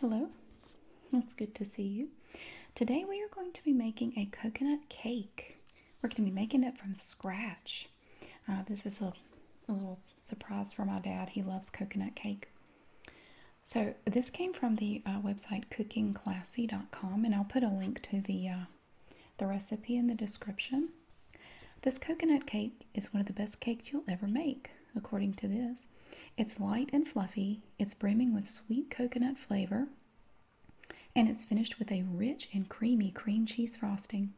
Hello, it's good to see you. Today we are going to be making a coconut cake. We're going to be making it from scratch. Uh, this is a, little surprise for my dad. He loves coconut cake. So this came from the uh, website cookingclassy.com and I'll put a link to the, uh, the recipe in the description. This coconut cake is one of the best cakes you'll ever make according to this. It's light and fluffy, it's brimming with sweet coconut flavor, and it's finished with a rich and creamy cream cheese frosting.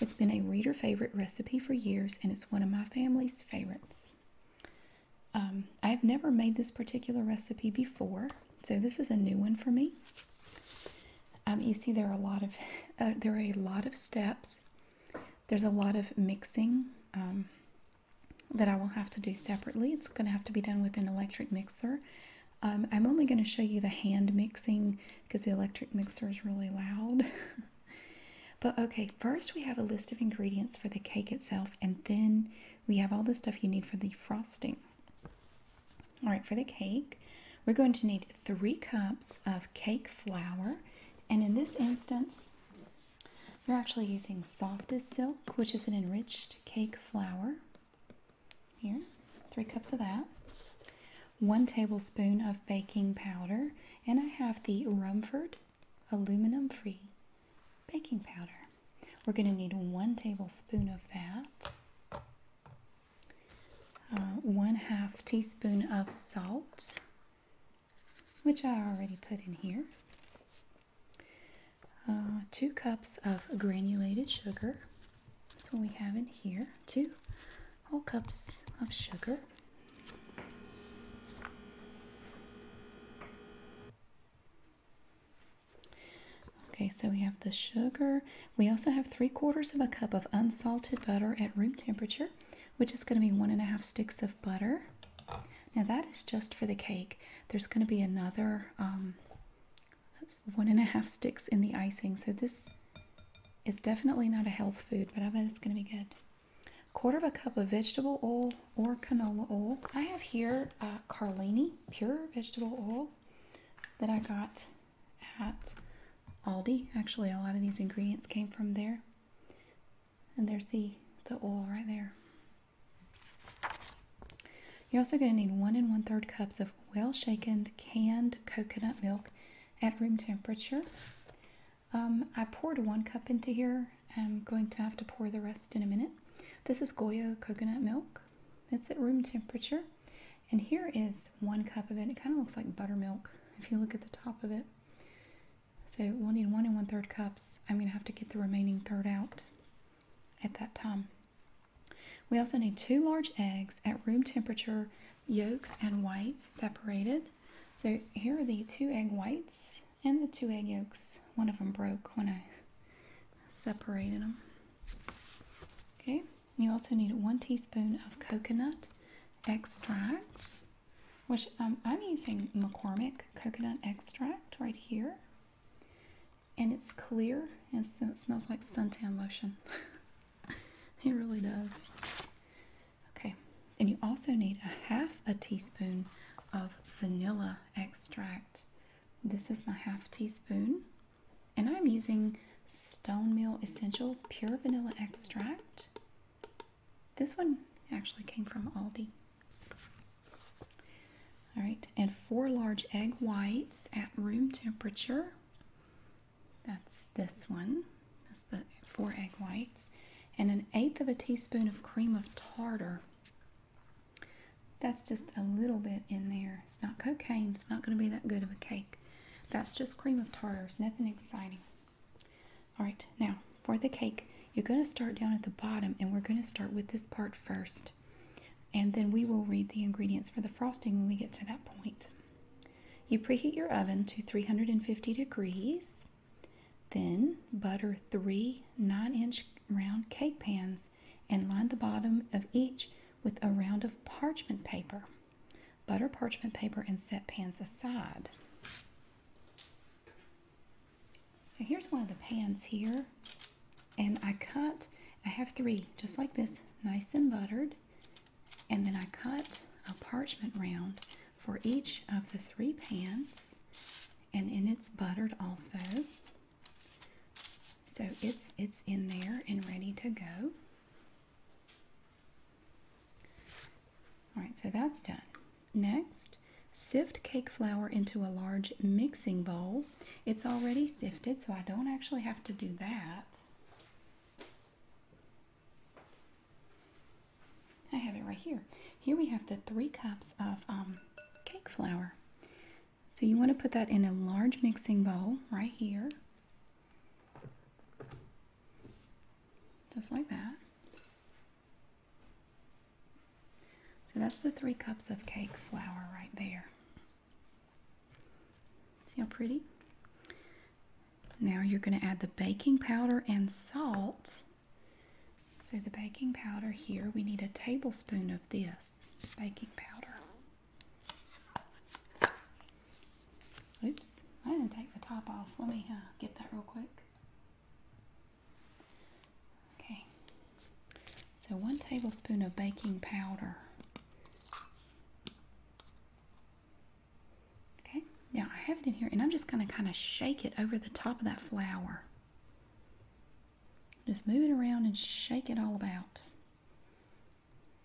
It's been a reader favorite recipe for years, and it's one of my family's favorites. Um, I've never made this particular recipe before, so this is a new one for me. Um, you see, there are a lot of uh, there are a lot of steps there's a lot of mixing um, that I will have to do separately. It's going to have to be done with an electric mixer. Um, I'm only going to show you the hand mixing because the electric mixer is really loud. but okay, first we have a list of ingredients for the cake itself, and then we have all the stuff you need for the frosting. All right, for the cake, we're going to need three cups of cake flour. And in this instance, we are actually using softest silk, which is an enriched cake flour. Here, three cups of that. One tablespoon of baking powder, and I have the Rumford aluminum free baking powder. We're going to need one tablespoon of that, uh, one half teaspoon of salt, which I already put in here, uh, two cups of granulated sugar. That's what we have in here, two whole cups of sugar. Okay, so we have the sugar. We also have three quarters of a cup of unsalted butter at room temperature which is going to be one and a half sticks of butter. Now that is just for the cake. There's going to be another um, one and a half sticks in the icing. So this is definitely not a health food, but I bet it's going to be good. Quarter of a cup of vegetable oil or canola oil. I have here uh, Carlini pure vegetable oil that I got at Aldi. Actually, a lot of these ingredients came from there. And there's the, the oil right there. You're also going to need one and one third cups of well shaken canned coconut milk at room temperature. Um, I poured one cup into here. I'm going to have to pour the rest in a minute. This is Goya coconut milk. It's at room temperature. And here is one cup of it. It kind of looks like buttermilk if you look at the top of it. So we'll need one and one third cups, I'm gonna have to get the remaining third out at that time. We also need two large eggs at room temperature, yolks and whites separated. So here are the two egg whites and the two egg yolks. One of them broke when I separated them. Okay, you also need one teaspoon of coconut extract which um, I'm using McCormick coconut extract right here. And it's clear, and so it smells like suntan lotion. it really does. Okay, and you also need a half a teaspoon of vanilla extract. This is my half teaspoon, and I'm using Stone Mill Essentials Pure Vanilla Extract. This one actually came from Aldi. All right, and four large egg whites at room temperature. That's this one. That's the four egg whites. And an eighth of a teaspoon of cream of tartar. That's just a little bit in there. It's not cocaine. It's not going to be that good of a cake. That's just cream of tartar. It's nothing exciting. All right, now for the cake, you're going to start down at the bottom and we're going to start with this part first. And then we will read the ingredients for the frosting when we get to that point. You preheat your oven to 350 degrees. Then butter three 9 inch round cake pans and line the bottom of each with a round of parchment paper. Butter parchment paper and set pans aside. So here's one of the pans here. And I cut, I have three, just like this, nice and buttered. And then I cut a parchment round for each of the three pans. And in it's buttered also. So it's, it's in there and ready to go. All right, so that's done. Next, sift cake flour into a large mixing bowl. It's already sifted, so I don't actually have to do that. I have it right here. Here we have the three cups of um, cake flour. So you want to put that in a large mixing bowl right here. Just like that. So that's the three cups of cake flour right there. See how pretty? Now you're going to add the baking powder and salt. So the baking powder here, we need a tablespoon of this baking powder. Oops, I didn't take the top off. Let me uh, get that real quick. Okay, so one tablespoon of baking powder. Okay, now I have it in here and I'm just going to kind of shake it over the top of that flour. Just move it around and shake it all about.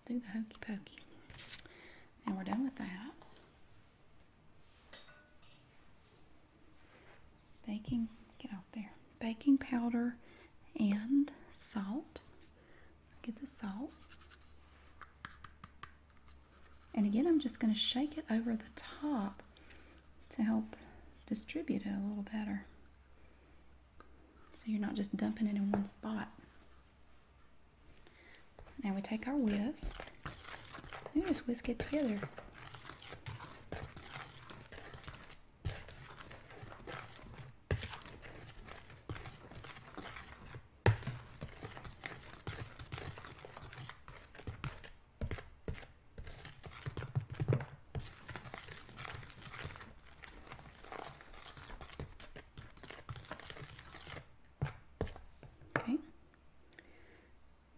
Do the hokey pokey. Now we're done with that. Baking, get out there. Baking powder and salt. Get the salt. And again, I'm just going to shake it over the top to help distribute it a little better. So you're not just dumping it in one spot. Now we take our whisk. and just whisk it together.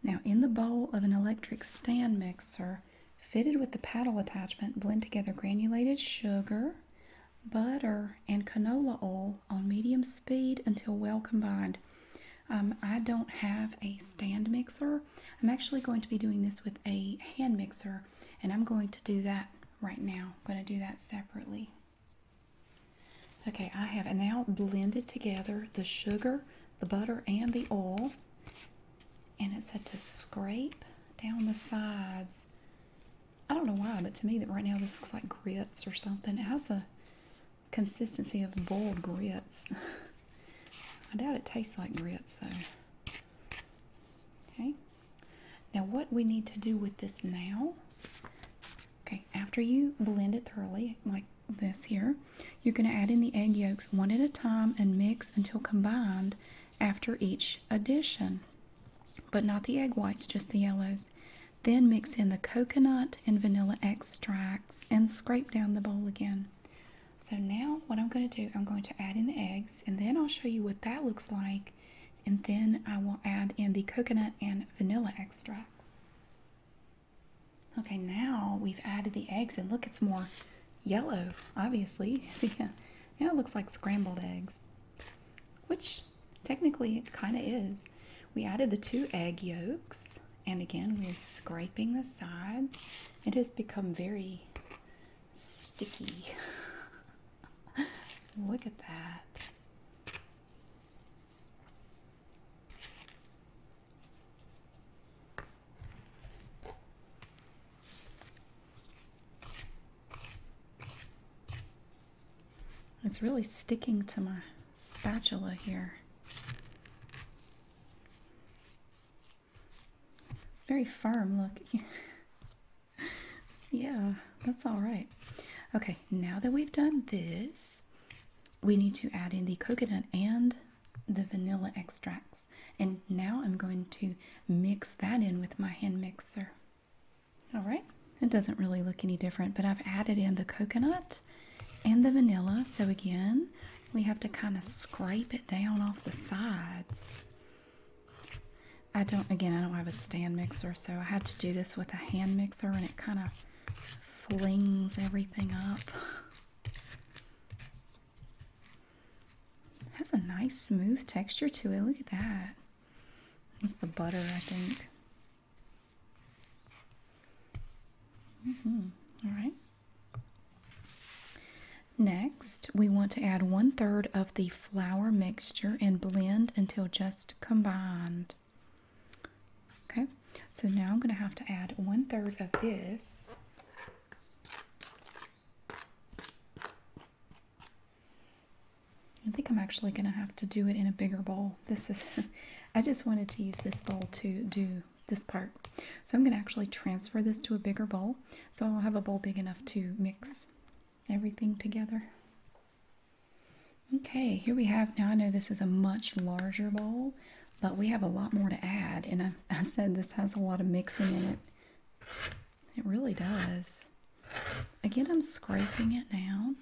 Now, in the bowl of an electric stand mixer fitted with the paddle attachment, blend together granulated sugar, butter, and canola oil on medium speed until well combined. Um, I don't have a stand mixer. I'm actually going to be doing this with a hand mixer, and I'm going to do that right now. I'm going to do that separately. Okay, I have now blended together the sugar, the butter, and the oil. And it said to scrape down the sides. I don't know why, but to me that right now this looks like grits or something. It has a consistency of boiled grits. I doubt it tastes like grits though. Okay. Now what we need to do with this now Okay, after you blend it thoroughly, like this here, you're going to add in the egg yolks one at a time and mix until combined after each addition, but not the egg whites, just the yellows. Then mix in the coconut and vanilla extracts and scrape down the bowl again. So now what I'm going to do, I'm going to add in the eggs and then I'll show you what that looks like. And then I will add in the coconut and vanilla extracts. Okay, now we've added the eggs and look, it's more yellow, obviously. yeah. it looks like scrambled eggs, which technically it kind of is. We added the two egg yolks and again, we're scraping the sides. It has become very sticky. Look at that. It's really sticking to my spatula here. It's very firm, look. yeah, that's all right. Okay, now that we've done this, we need to add in the coconut and the vanilla extracts. And now I'm going to mix that in with my hand mixer. All right, it doesn't really look any different, but I've added in the coconut and the vanilla. So again, we have to kind of scrape it down off the sides. I don't, again, I don't have a stand mixer, so I had to do this with a hand mixer and it kind of flings everything up. has a nice smooth texture to it. Look at that. It's the butter, I think. Mm -hmm. All right. Next, we want to add one third of the flour mixture and blend until just combined. Okay, so now I'm going to have to add one third of this I think I'm actually going to have to do it in a bigger bowl. This is, I just wanted to use this bowl to do this part. So I'm going to actually transfer this to a bigger bowl. So I'll have a bowl big enough to mix everything together. Okay, here we have, now I know this is a much larger bowl, but we have a lot more to add. And I, said this has a lot of mixing in it. It really does. Again, I'm scraping it now.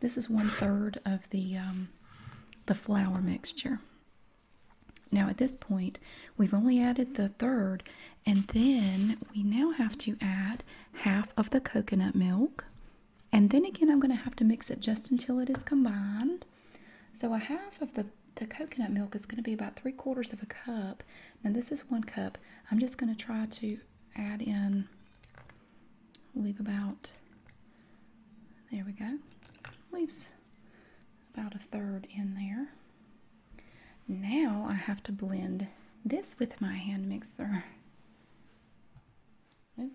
This is one third of the um, the flour mixture. Now at this point, we've only added the third, and then we now have to add half of the coconut milk. And then again, I'm going to have to mix it just until it is combined. So a half of the, the coconut milk is going to be about three quarters of a cup. Now this is one cup. I'm just going to try to add in, leave about, there we go, leaves about a third in there. Now I have to blend this with my hand mixer.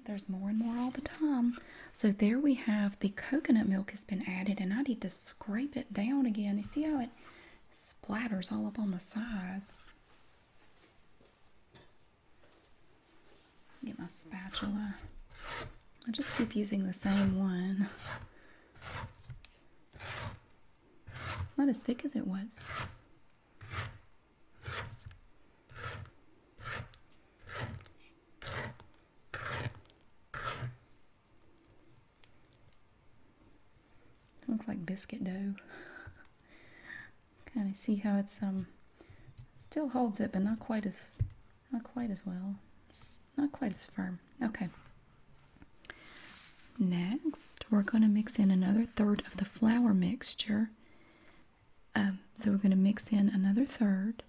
there's more and more all the time. So there we have the coconut milk has been added and I need to scrape it down again. You see how it splatters all up on the sides. Get my spatula. I just keep using the same one. Not as thick as it was. Looks like biscuit dough. kind of see how it's um still holds it, but not quite as not quite as well. It's not quite as firm. Okay. Next, we're going to mix in another third of the flour mixture. Um, so we're going to mix in another third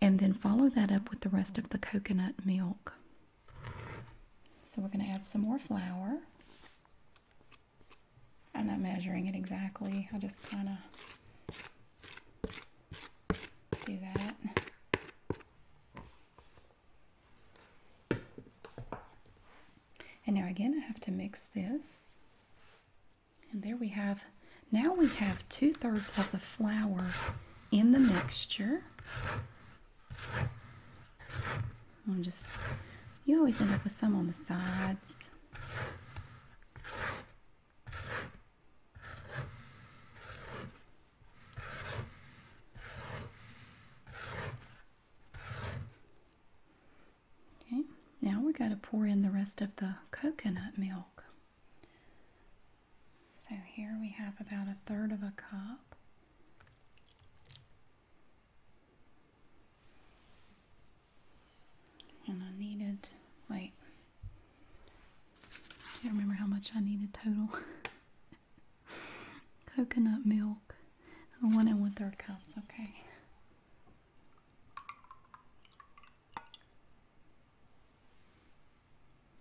and then follow that up with the rest of the coconut milk. So we're going to add some more flour. I'm not measuring it exactly. I just kind of do that. And now again, I have to mix this. And there we have, now we have two thirds of the flour in the mixture. I'm just, you always end up with some on the sides. Okay, now we're going to pour in the rest of the coconut milk. So here we have about a third of a cup. And I need it. wait, I can't remember how much I needed total. Coconut milk. I want it one third cups, okay.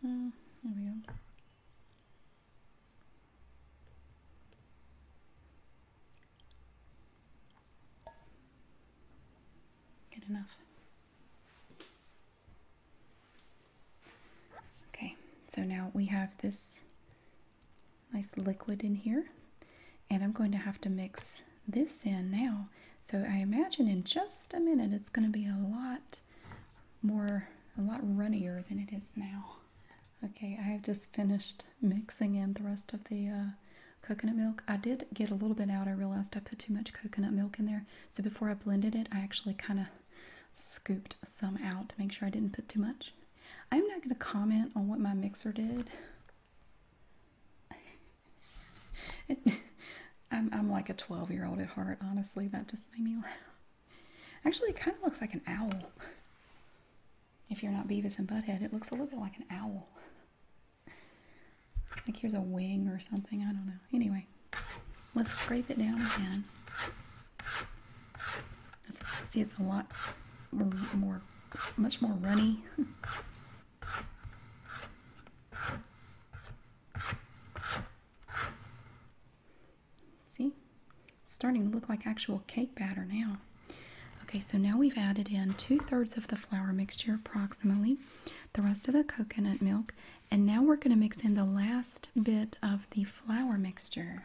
Mm, there we go. Good enough. Okay, so now we have this nice liquid in here, and I'm going to have to mix this in now. So I imagine in just a minute it's going to be a lot more, a lot runnier than it is now. Okay, I have just finished mixing in the rest of the uh, coconut milk. I did get a little bit out. I realized I put too much coconut milk in there. So before I blended it, I actually kind of scooped some out to make sure I didn't put too much. I'm not going to comment on what my mixer did. I'm, I'm like a 12 year old at heart, honestly. That just made me laugh. Actually, it kind of looks like an owl. If you're not Beavis and Butthead, it looks a little bit like an owl. Like here's a wing or something. I don't know. Anyway, let's scrape it down again. see, it's a lot more, much more runny. see, starting to look like actual cake batter now. Okay, so now we've added in two thirds of the flour mixture approximately, the rest of the coconut milk, and now we're going to mix in the last bit of the flour mixture.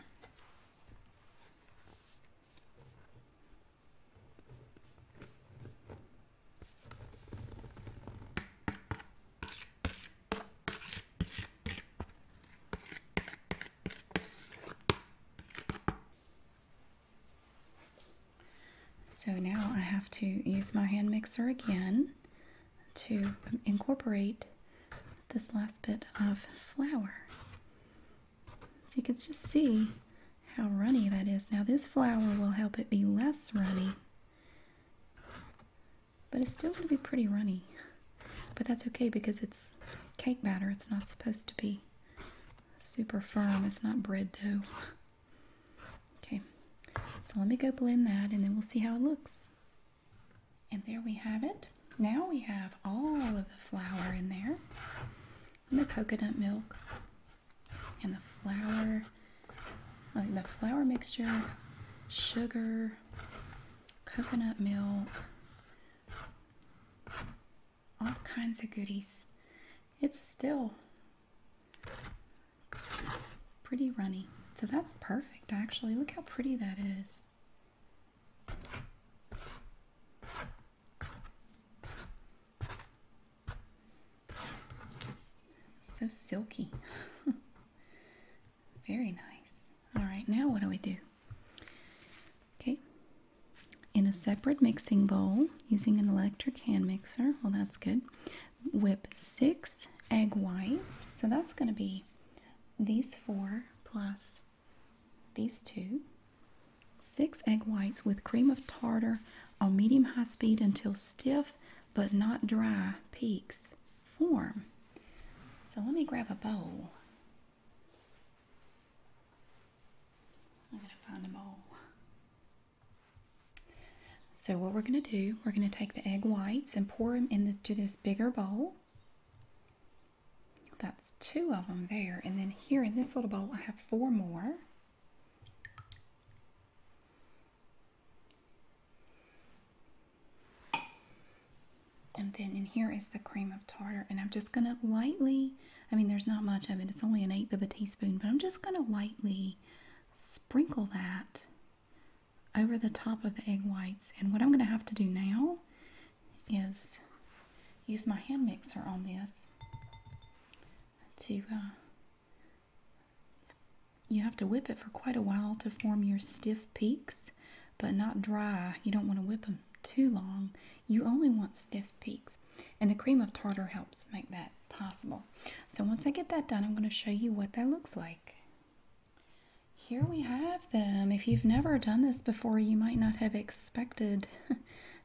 So now I have to use my hand mixer again to incorporate this last bit of flour. So you can just see how runny that is. Now this flour will help it be less runny, but it's still going to be pretty runny. But that's okay because it's cake batter. It's not supposed to be super firm. It's not bread dough. Okay, so let me go blend that and then we'll see how it looks. And there we have it. Now we have all of the flour in there. And the coconut milk and the flour, uh, the flour mixture, sugar, coconut milk, all kinds of goodies. It's still Pretty runny. So that's perfect actually. Look how pretty that is. So silky. Very nice. All right, now what do we do? Okay. In a separate mixing bowl using an electric hand mixer, well, that's good. Whip six egg whites. So that's going to be these four plus these two, six egg whites with cream of tartar on medium high speed until stiff but not dry peaks form. So let me grab a bowl. I'm going to find a bowl. So what we're going to do, we're going to take the egg whites and pour them into this bigger bowl. That's two of them there. And then here in this little bowl, I have four more. And then in here is the cream of tartar. And I'm just going to lightly, I mean, there's not much of it. It's only an eighth of a teaspoon, but I'm just going to lightly sprinkle that over the top of the egg whites. And what I'm going to have to do now is use my hand mixer on this to, uh, you have to whip it for quite a while to form your stiff peaks, but not dry. You don't want to whip them too long. You only want stiff peaks. And the cream of tartar helps make that possible. So once I get that done, I'm going to show you what that looks like. Here we have them. If you've never done this before, you might not have expected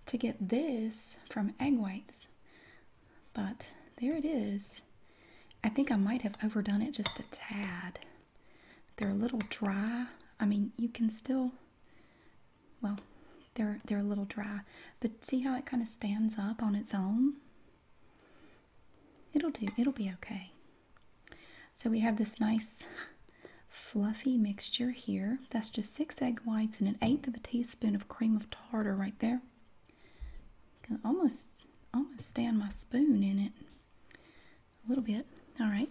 to get this from egg whites. But there it is. I think I might have overdone it just a tad. They're a little dry. I mean, you can still, well, they're, they're a little dry. But see how it kind of stands up on its own? It'll do. It'll be okay. So we have this nice fluffy mixture here. That's just six egg whites and an eighth of a teaspoon of cream of tartar right there. Can almost, almost stand my spoon in it a little bit. All right.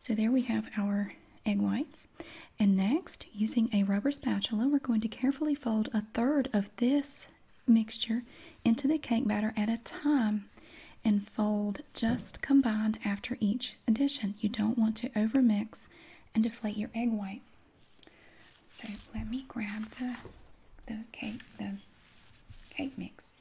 So there we have our egg whites. And next, using a rubber spatula, we're going to carefully fold a third of this mixture into the cake batter at a time and fold just combined after each addition. You don't want to overmix and deflate your egg whites. So let me grab the the cake the cake mix.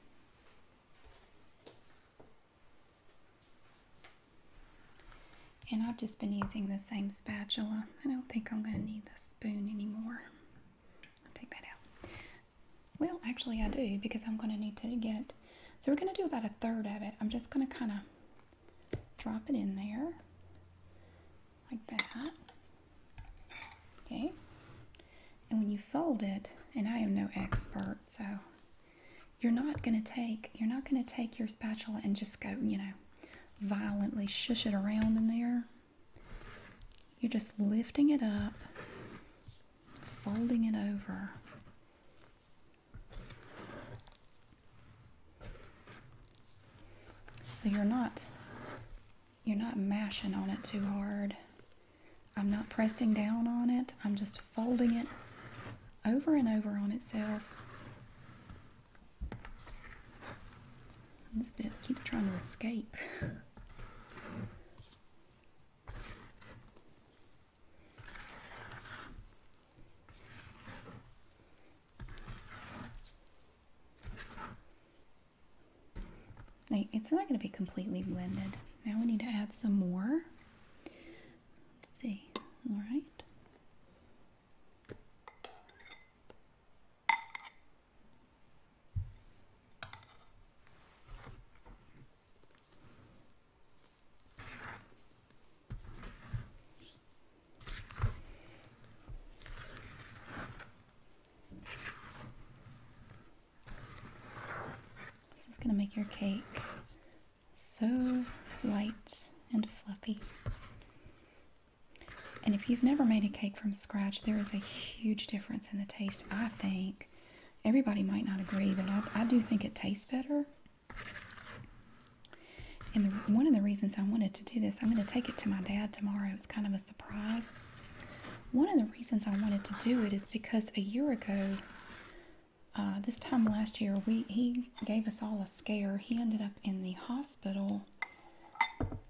And I've just been using the same spatula. I don't think I'm going to need the spoon anymore take that out. Well, actually I do because I'm going to need to get, it. so we're going to do about a third of it. I'm just going to kind of drop it in there like that. Okay. And when you fold it, and I am no expert, so you're not going to take, you're not going to take your spatula and just go, you know, violently shush it around in there. You're just lifting it up, folding it over. So you're not you're not mashing on it too hard. I'm not pressing down on it. I'm just folding it over and over on itself. This bit keeps trying to escape. Like, it's not going to be completely blended. Now we need to add some more. Let's see. All right. This is going to make your cake so light and fluffy. And if you've never made a cake from scratch, there is a huge difference in the taste, I think. Everybody might not agree, but I, do think it tastes better. And one of the reasons I wanted to do this, I'm going to take it to my dad tomorrow. It's kind of a surprise. One of the reasons I wanted to do it is because a year ago, uh, this time last year, we he gave us all a scare. He ended up in the hospital.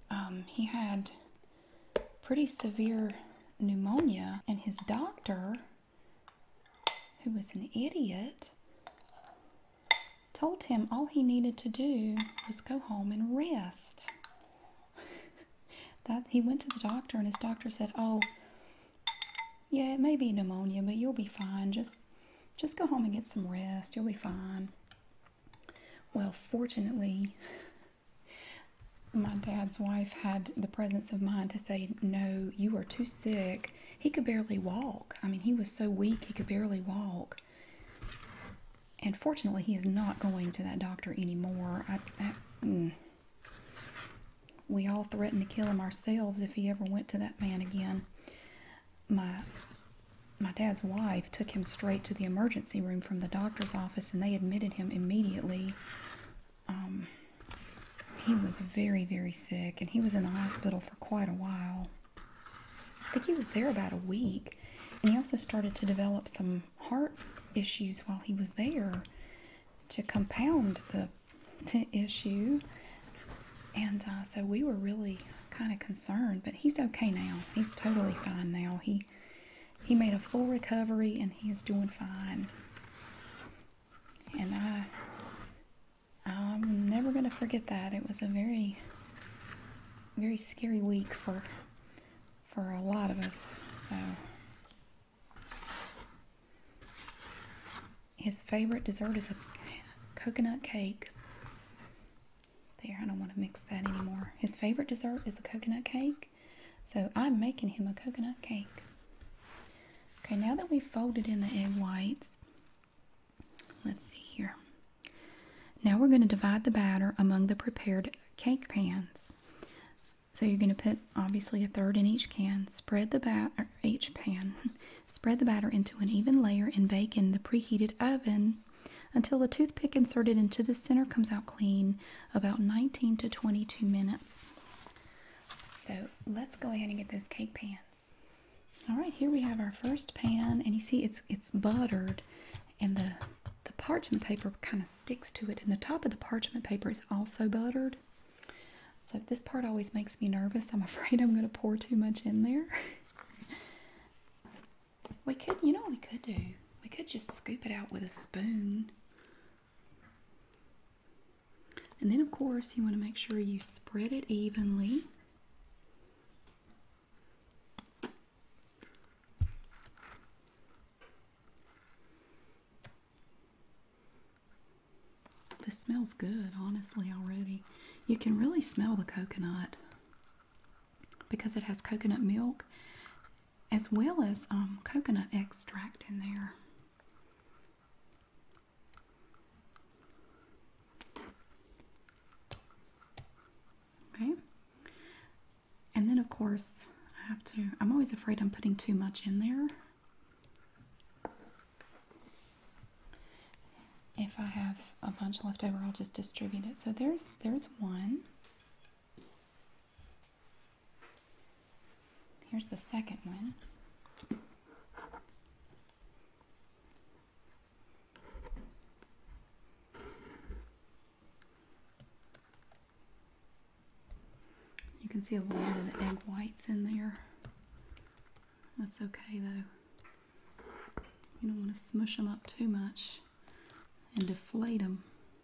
Um, he had pretty severe pneumonia, and his doctor, who was an idiot, told him all he needed to do was go home and rest. that he went to the doctor and his doctor said, "Oh, yeah, it may be pneumonia, but you'll be fine. Just just go home and get some rest. You'll be fine." Well, fortunately, my dad's wife had the presence of mind to say, No, you are too sick. He could barely walk. I mean, he was so weak, he could barely walk. And fortunately, he is not going to that doctor anymore. Mm. We all threatened to kill him ourselves if he ever went to that man again. My, my dad's wife took him straight to the emergency room from the doctor's office and they admitted him immediately. Um, he was very, very sick and he was in the hospital for quite a while. I think he was there about a week. And he also started to develop some heart issues while he was there to compound the, issue. And uh, so we were really kind of concerned, but he's okay now. He's totally fine now. He he made a full recovery and he is doing fine. And I I'm never going to forget that. It was a very very scary week for for a lot of us. So his favorite dessert is a coconut cake. There, I don't want to mix that anymore. His favorite dessert is a coconut cake, so I'm making him a coconut cake. Okay, now that we've folded in the egg whites, let's see here. Now we're going to divide the batter among the prepared cake pans. So you're going to put obviously a third in each can. Spread the batter each pan. Spread the batter into an even layer and bake in the preheated oven until the toothpick inserted into the center comes out clean about 19 to 22 minutes. So let's go ahead and get those cake pans. All right, here we have our first pan and you see it's it's buttered and the the parchment paper kind of sticks to it and the top of the parchment paper is also buttered. So this part always makes me nervous. I'm afraid I'm going to pour too much in there. We could, you know we could do? We could just scoop it out with a spoon. And then, of course, you want to make sure you spread it evenly. This smells good, honestly, already. You can really smell the coconut because it has coconut milk as well as um, coconut extract in there. Okay. And then, of course, I have to, I'm always afraid I'm putting too much in there. If I have a bunch left over, I'll just distribute it. So there's there's one. Here's the second one. You can see a lot of the egg whites in there. That's okay though. You don't want to smush them up too much and deflate them.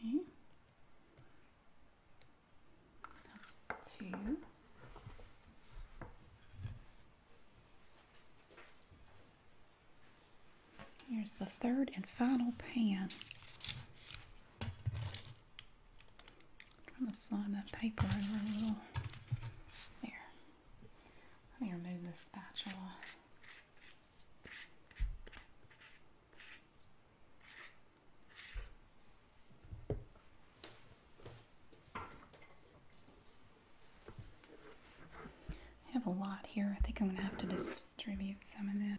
Okay. That's two. Here's the third and final pan. I'm trying to slide that paper over a little. There. Let me remove the spatula. I have a lot here. I think I'm going to have to distribute some of that.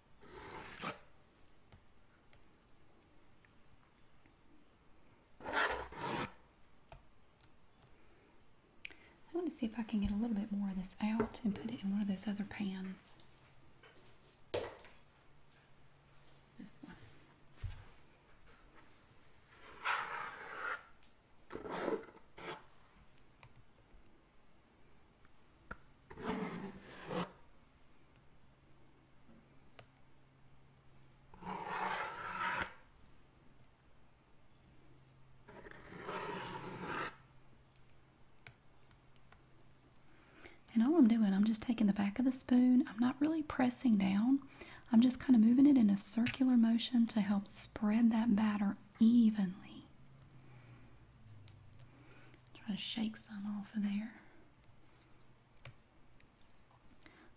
I want to see if I can get a little bit more of this out and put it in one of those other pans. This one. And all I'm doing, I'm just taking the back of the spoon. I'm not really pressing down. I'm just kind of moving it in a circular motion to help spread that batter evenly. Try to shake some off of there.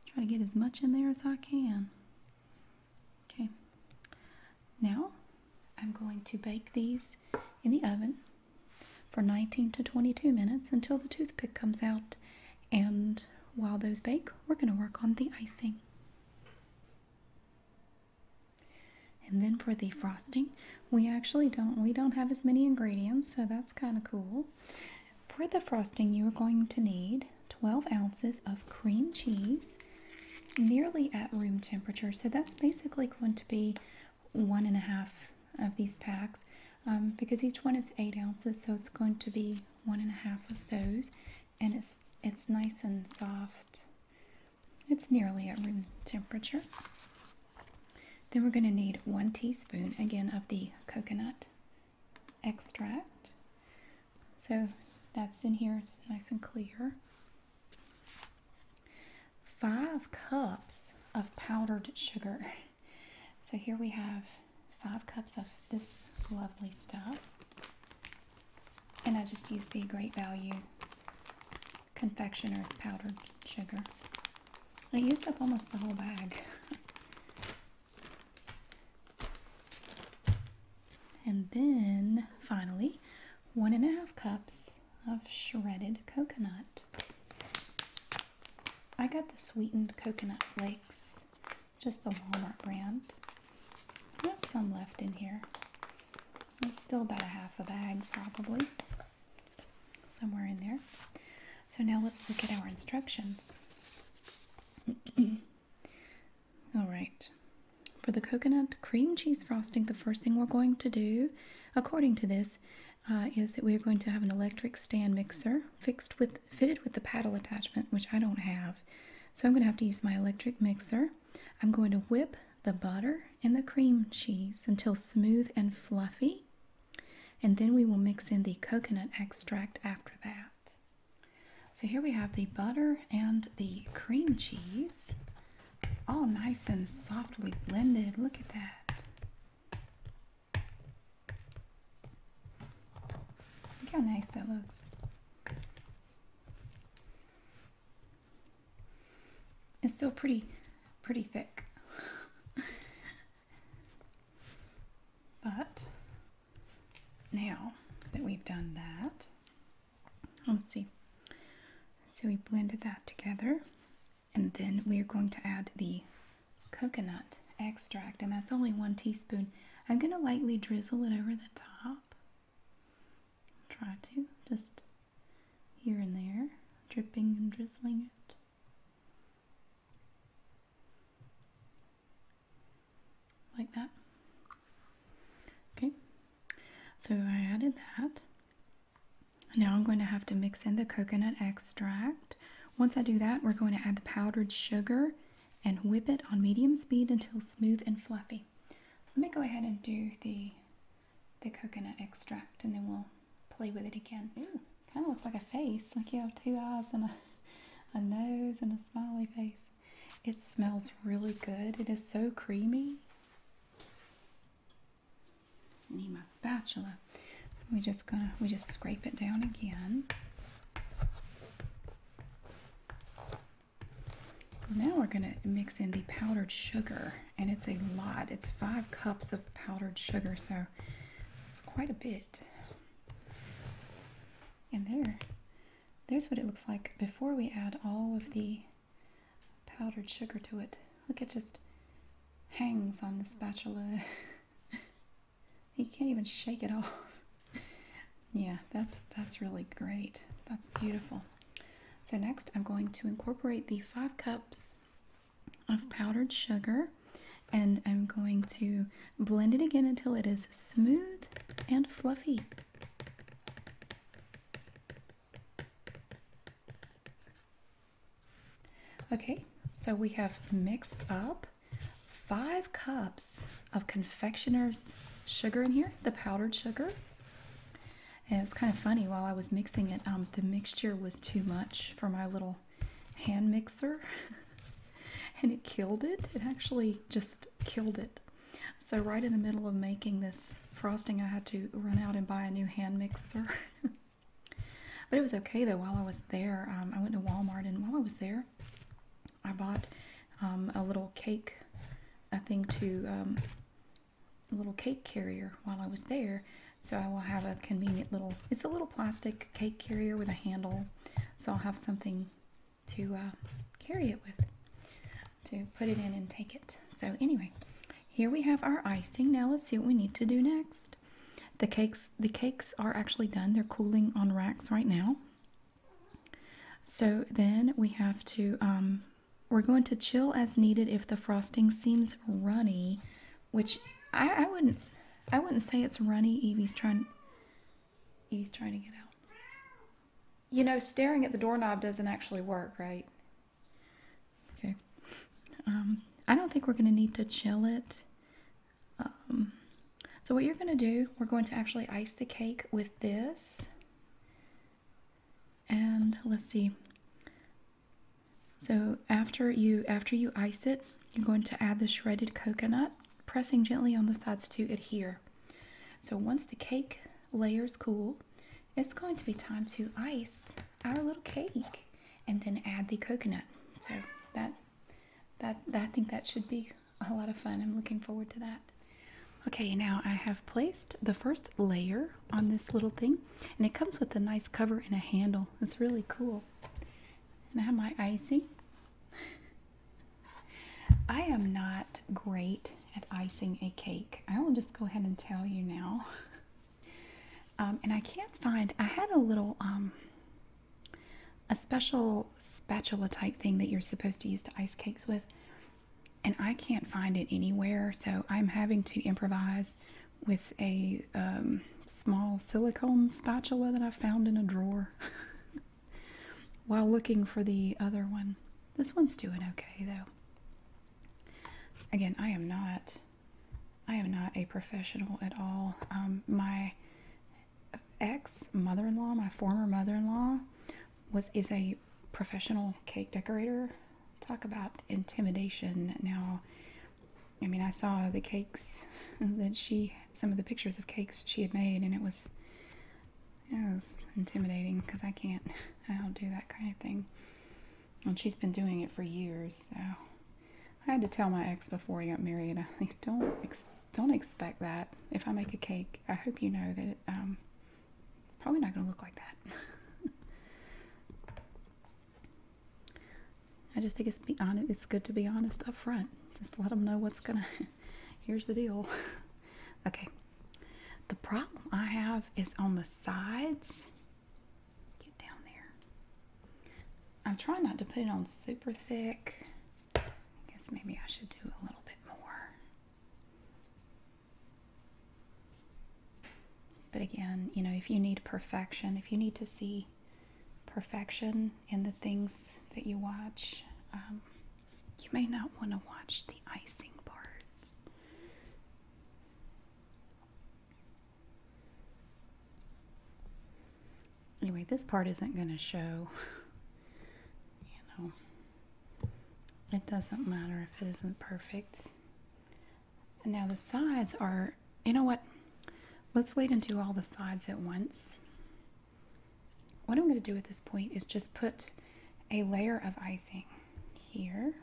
Try to get as much in there as I can. Okay, now I'm going to bake these in the oven for 19 to 22 minutes until the toothpick comes out. And while those bake, we're going to work on the icing. And then for the frosting, we actually don't. We don't have as many ingredients, so that's kind of cool. For the frosting, you are going to need 12 ounces of cream cheese, nearly at room temperature. So that's basically going to be one and a half of these packs um, because each one is eight ounces, so it's going to be one and a half of those, and it's it's nice and soft. It's nearly at room temperature. Then we're going to need one teaspoon again of the coconut extract. So that's in here, it's nice and clear. Five cups of powdered sugar. So here we have five cups of this lovely stuff. And I just use the Great Value Confectioner's Powdered Sugar. I used up almost the whole bag. and then finally, one and a half cups of shredded coconut. I got the sweetened coconut flakes, just the Walmart brand. I have some left in here. There's still about a half a bag, probably somewhere in there. So now let's look at our instructions. All right. For the coconut cream cheese frosting, the first thing we're going to do, according to this, uh, is that we're going to have an electric stand mixer fitted with the paddle attachment, which I don't have. So I'm going to have to use my electric mixer. I'm going to whip the butter and the cream cheese until smooth and fluffy. And then we will mix in the coconut extract after that. So here we have the butter and the cream cheese, all nice and softly blended. Look at that. Look how nice that looks. It's still pretty, pretty thick. But now that we've done that, let's see. So we blended that together and then we are going to add the coconut extract and that's only one teaspoon. I'm going to lightly drizzle it over the top. Try to, just here and there, dripping and drizzling it like that. Okay, so I added that. Now I'm going to have to mix in the coconut extract. Once I do that, we're going to add the powdered sugar and whip it on medium speed until smooth and fluffy. Let me go ahead and do the, the coconut extract and then we'll play with it again. kind of looks like a face. Like you have two eyes and a, a nose and a smiley face. It smells really good. It is so creamy. I need my spatula. We just gonna we just scrape it down again. Now we're gonna mix in the powdered sugar, and it's a lot. It's five cups of powdered sugar, so it's quite a bit. And there, there's what it looks like before we add all of the powdered sugar to it. Look, it just hangs on the spatula. you can't even shake it off. yeah, that's that's really great. That's beautiful. So next, I'm going to incorporate the five cups of powdered sugar and I'm going to blend it again until it is smooth and fluffy. Okay, so we have mixed up five cups of confectioner's sugar in here, the powdered sugar. And it was kind of funny while I was mixing it, um, the mixture was too much for my little hand mixer and it killed it. It actually just killed it. So, right in the middle of making this frosting, I had to run out and buy a new hand mixer. but it was okay though, while I was there, um, I went to Walmart and while I was there, I bought um, a little cake, a thing to, um, a little cake carrier while I was there so I will have a convenient little, it's a little plastic cake carrier with a handle. So I'll have something to uh, carry it with, to put it in and take it. So anyway, here we have our icing. Now let's see what we need to do next. The cakes, the cakes are actually done. They're cooling on racks right now. So then we have to, um, we're going to chill as needed if the frosting seems runny which I, wouldn't I wouldn't say it's runny. Evie's trying Evie's trying to get out. You know, staring at the doorknob doesn't actually work, right? Okay. Um, I don't think we're going to need to chill it. Um, so what you're going to do, we're going to actually ice the cake with this. And let's see. So after you after you ice it, you're going to add the shredded coconut, pressing gently on the sides to adhere. So once the cake layers cool, it's going to be time to ice our little cake and then add the coconut. So that that, I think that should be a lot of fun. I'm looking forward to that. Okay, now I have placed the first layer on this little thing, and it comes with a nice cover and a handle. It's really cool. And I have my icing. I am not great at icing a cake. I will just go ahead and tell you now. Um, and I can't find, I had a little, um, a special spatula type thing that you're supposed to use to ice cakes with. And I can't find it anywhere, so I'm having to improvise with a um, small silicone spatula that I found in a drawer while looking for the other one. This one's doing okay though. Again, I am not, I am not a professional at all. Um, my ex mother-in-law, my former mother-in-law, was is a professional cake decorator. Talk about intimidation. Now, I mean, I saw the cakes that she, some of the pictures of cakes she had made, and it was, it was intimidating because I can't, I don't do that kind of thing. And she's been doing it for years, so I had to tell my ex before he got married. I think don't don't expect that. If I make a cake, I hope you know that um, it's probably not going to look like that. I just think it's be honest. It's good to be honest up front. Just let them know what's gonna. Here's the deal. okay. The problem I have is on the sides. Get down there. I'm trying not to put it on super thick. I guess maybe I should do a little bit more. But again, you know, if you need perfection, if you need to see perfection in the things that you watch. Um, you may not want to watch the icing parts. Anyway, this part isn't going to show. you know, it doesn't matter if it isn't perfect. And now the sides are, you know what? Let's wait and do all the sides at once. What I'm going to do at this point is just put a layer of icing here.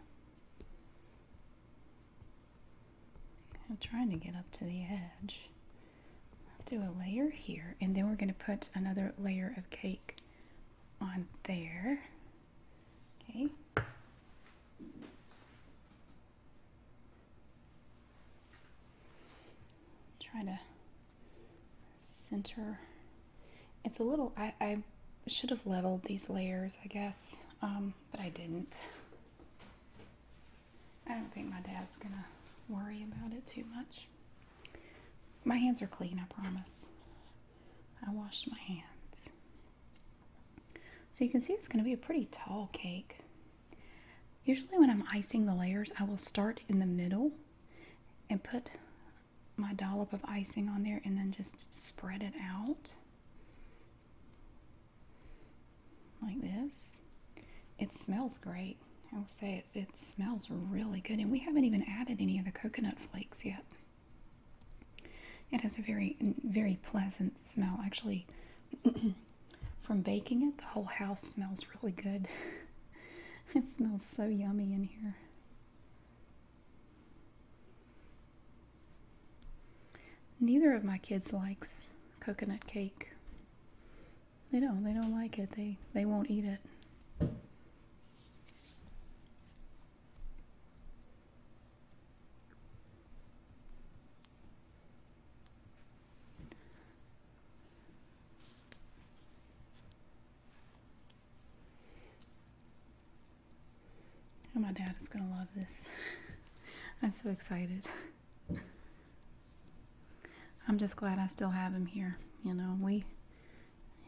I'm trying to get up to the edge. I'll do a layer here, and then we're going to put another layer of cake on there. Okay. Try to center. It's a little, I, should have leveled these layers, I guess, um, but I didn't. I don't think my dad's gonna worry about it too much. My hands are clean, I promise. I washed my hands. So you can see it's going to be a pretty tall cake. Usually when I'm icing the layers, I will start in the middle and put my dollop of icing on there and then just spread it out like this. It smells great. I will say it, smells really good and we haven't even added any of the coconut flakes yet. It has a very, very pleasant smell. Actually, from baking it, the whole house smells really good. it smells so yummy in here. Neither of my kids likes coconut cake. They don't. They don't like it. They they won't eat it. Oh, my dad is going to love this. I'm so excited. I'm just glad I still have him here. You know, we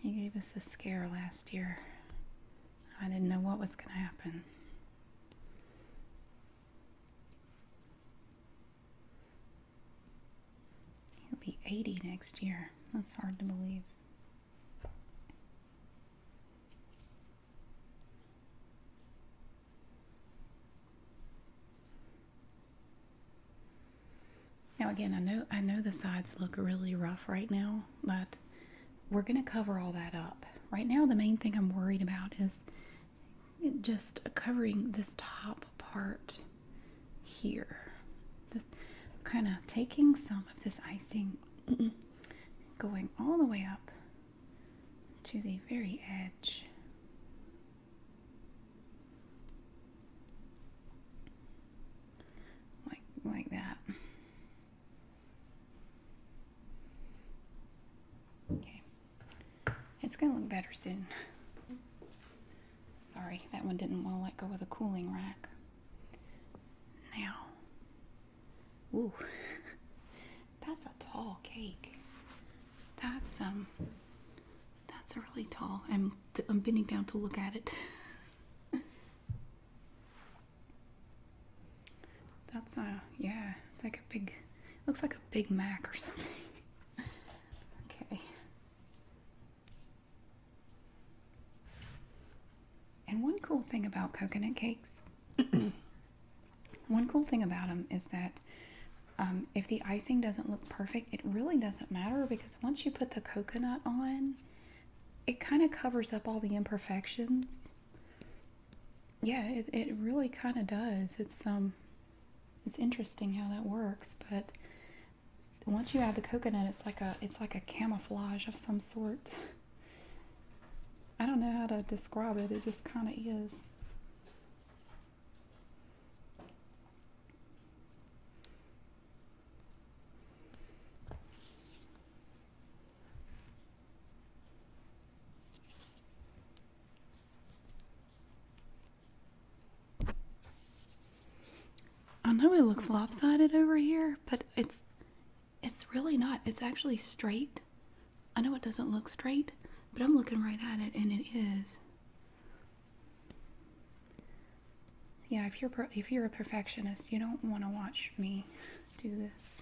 he gave us a scare last year. I didn't know what was going to happen. He'll be 80 next year. That's hard to believe. Now again, I know I know the sides look really rough right now, but we're going to cover all that up. Right now the main thing I'm worried about is just covering this top part here. Just kind of taking some of this icing, going all the way up to the very edge. Like, like that. Okay. It's going to look better soon. Sorry, that one didn't want to let go of the cooling rack. Now, ooh, that's a tall cake. That's um, that's really tall. I'm I'm bending down to look at it. That's a yeah. It's like a big. Looks like a Big Mac or something. okay. And one cool thing about coconut cakes, one cool thing about them is that um, if the icing doesn't look perfect, it really doesn't matter because once you put the coconut on, it kind of covers up all the imperfections yeah, it really kind of does. It's um, it's interesting how that works, but once you add the coconut, it's like a it's like a camouflage of some sort. I don't know how to describe it. It just kind of is. I know it looks lopsided over here, but it's it's really not. It's actually straight. I know it doesn't look straight, but I'm looking right at it and it is. Yeah, if you're if you're a perfectionist, you don't want to watch me do this.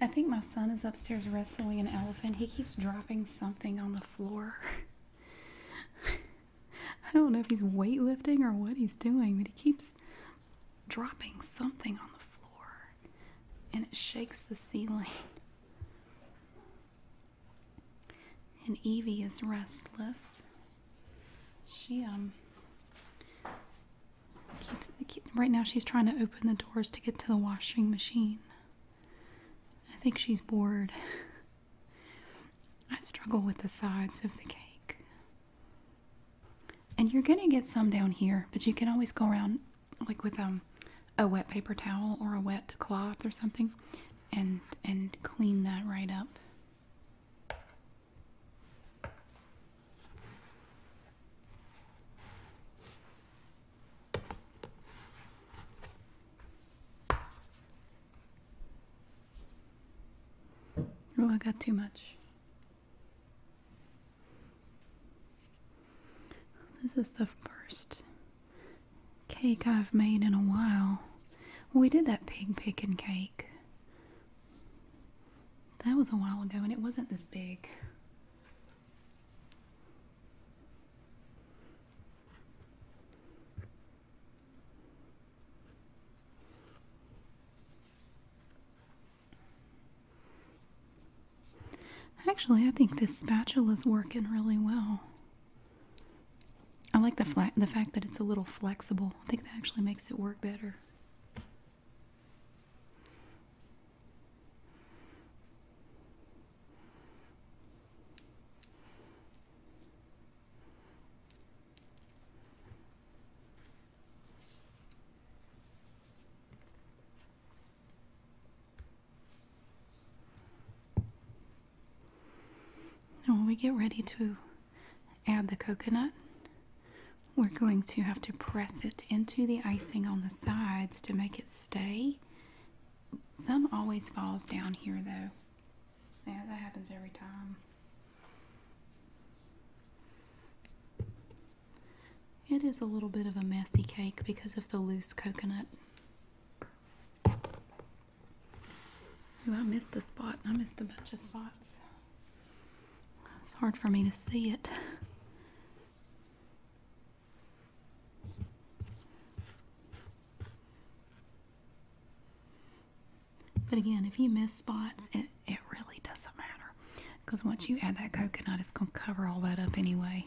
I think my son is upstairs wrestling an elephant. He keeps dropping something on the floor. I don't know if he's weightlifting or what he's doing, but he keeps dropping something on the floor and it shakes the ceiling. And Evie is restless. She um keeps right now she's trying to open the doors to get to the washing machine. I think she's bored. I struggle with the sides of the cake. And you're going to get some down here, but you can always go around like with um a wet paper towel or a wet cloth or something and and clean that right up. Oh, I got too much. This is the first cake I've made in a while. We did that pig pickin' cake. That was a while ago and it wasn't this big. Actually, I think this spatula's working really well. I like the flat the fact that it's a little flexible. I think that actually makes it work better. Now when we get ready to add the coconut, we're going to have to press it into the icing on the sides to make it stay. Some always falls down here though. Yeah, that happens every time. It is a little bit of a messy cake because of the loose coconut. Ooh, I missed a spot. I missed a bunch of spots. It's hard for me to see it. But again, if you miss spots, it, it really doesn't matter. Because once you add that coconut, it's going to cover all that up anyway.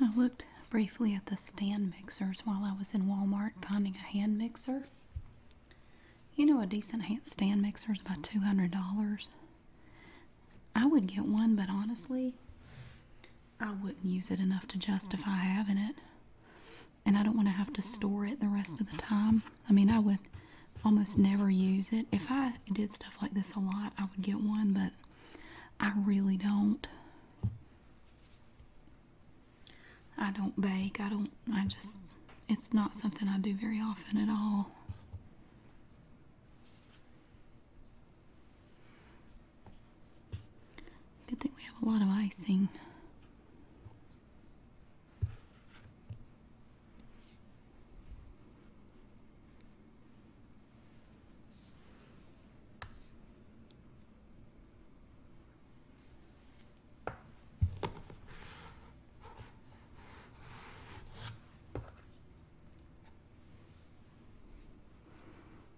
I looked briefly at the stand mixers while I was in Walmart finding a hand mixer. You know, a decent hand stand mixer is about $200. I would get one, but honestly, I wouldn't use it enough to justify having it. And I don't want to have to store it the rest of the time. I mean, I would almost never use it. If I did stuff like this a lot, I would get one, but I really don't. I don't bake. I don't, I just, it's not something I do very often at all. Good thing we have a lot of icing.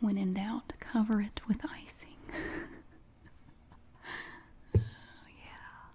When in doubt, cover it with icing. oh, yeah.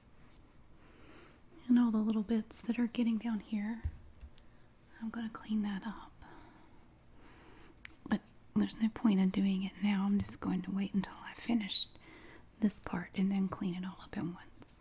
And all the little bits that are getting down here, I'm going to clean that up. But there's no point in doing it now. I'm just going to wait until I finish this part and then clean it all up at once.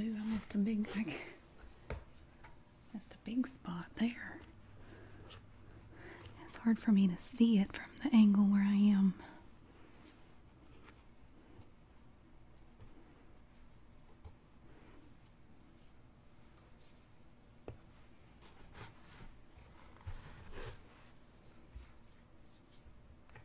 Ooh, I missed a big missed a big spot there. It's hard for me to see it from the angle where I am.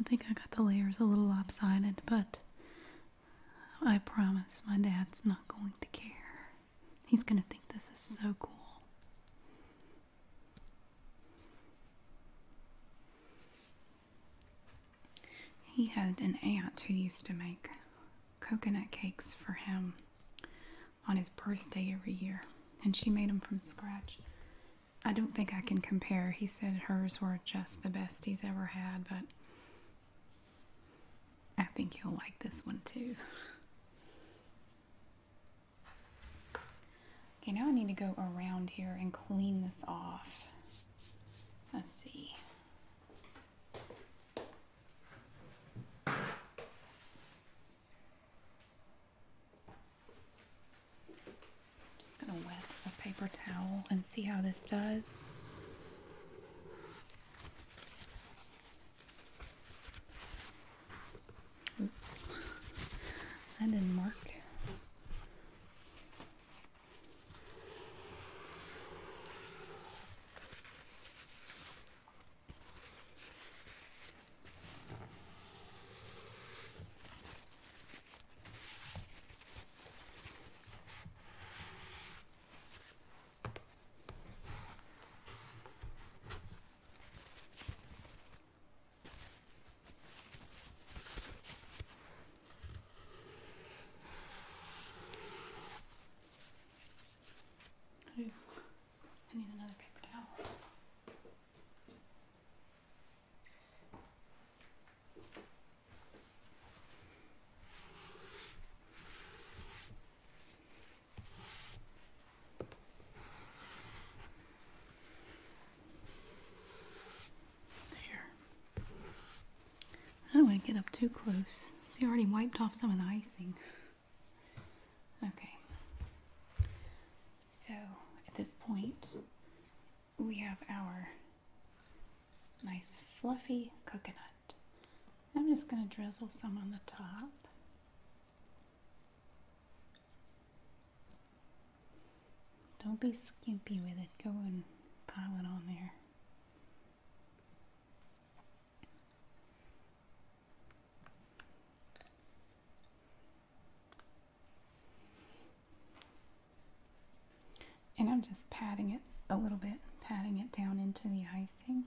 I think I got the layers a little lopsided, but I promise my dad's not going to care. He's gonna think this is so cool. He had an aunt who used to make coconut cakes for him on his birthday every year, and she made them from scratch. I don't think I can compare. He said hers were just the best he's ever had, but I think you'll like this one too. Okay, now I need to go around here and clean this off. Let's see. Just gonna wet a paper towel and see how this does. Oops, I didn't mark. Ooh, I need another paper towel. Oh, I don't want to get up too close. See, I already wiped off some of the icing. Okay. So, at this point, we have our nice fluffy coconut. I'm just going to drizzle some on the top. Don't be skimpy with it. Go and pile it on there. And I'm just patting it a little bit, patting it down into the icing.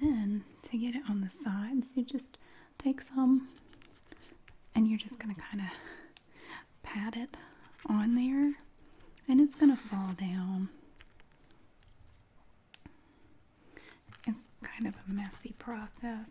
And then to get it on the sides, you just take some and you're just going to kind of pat it on there and it's going to fall down. It's kind of a messy process.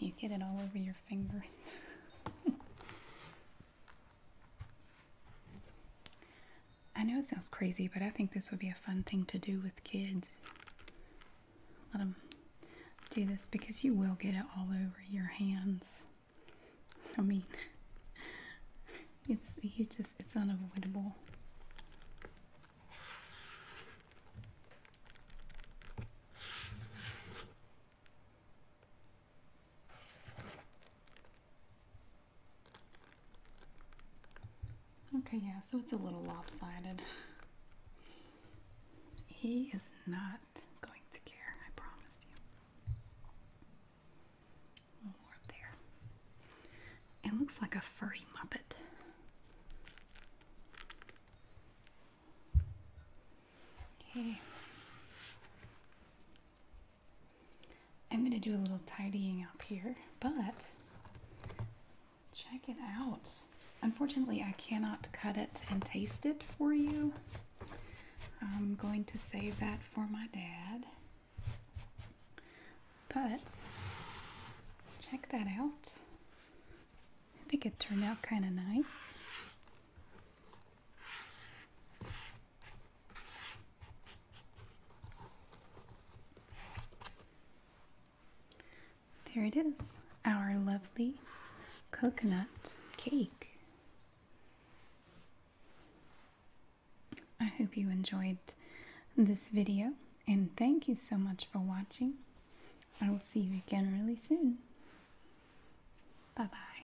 You get it all over your fingers. I know it sounds crazy, but I think this would be a fun thing to do with kids. Let them do this because you will get it all over your hands. I mean, it's you just it's unavoidable. Okay, yeah, so it's a little lopsided. He is not going to care, I promise you. More up there. It looks like a furry muppet. Okay. I'm going to do a little tidying up here, but Check it out. Unfortunately, I cannot cut it and taste it for you. I'm going to save that for my dad. But check that out. I think it turned out kind of nice. There it is, our lovely coconut cake. I hope you enjoyed this video and thank you so much for watching. I will see you again really soon. Bye bye.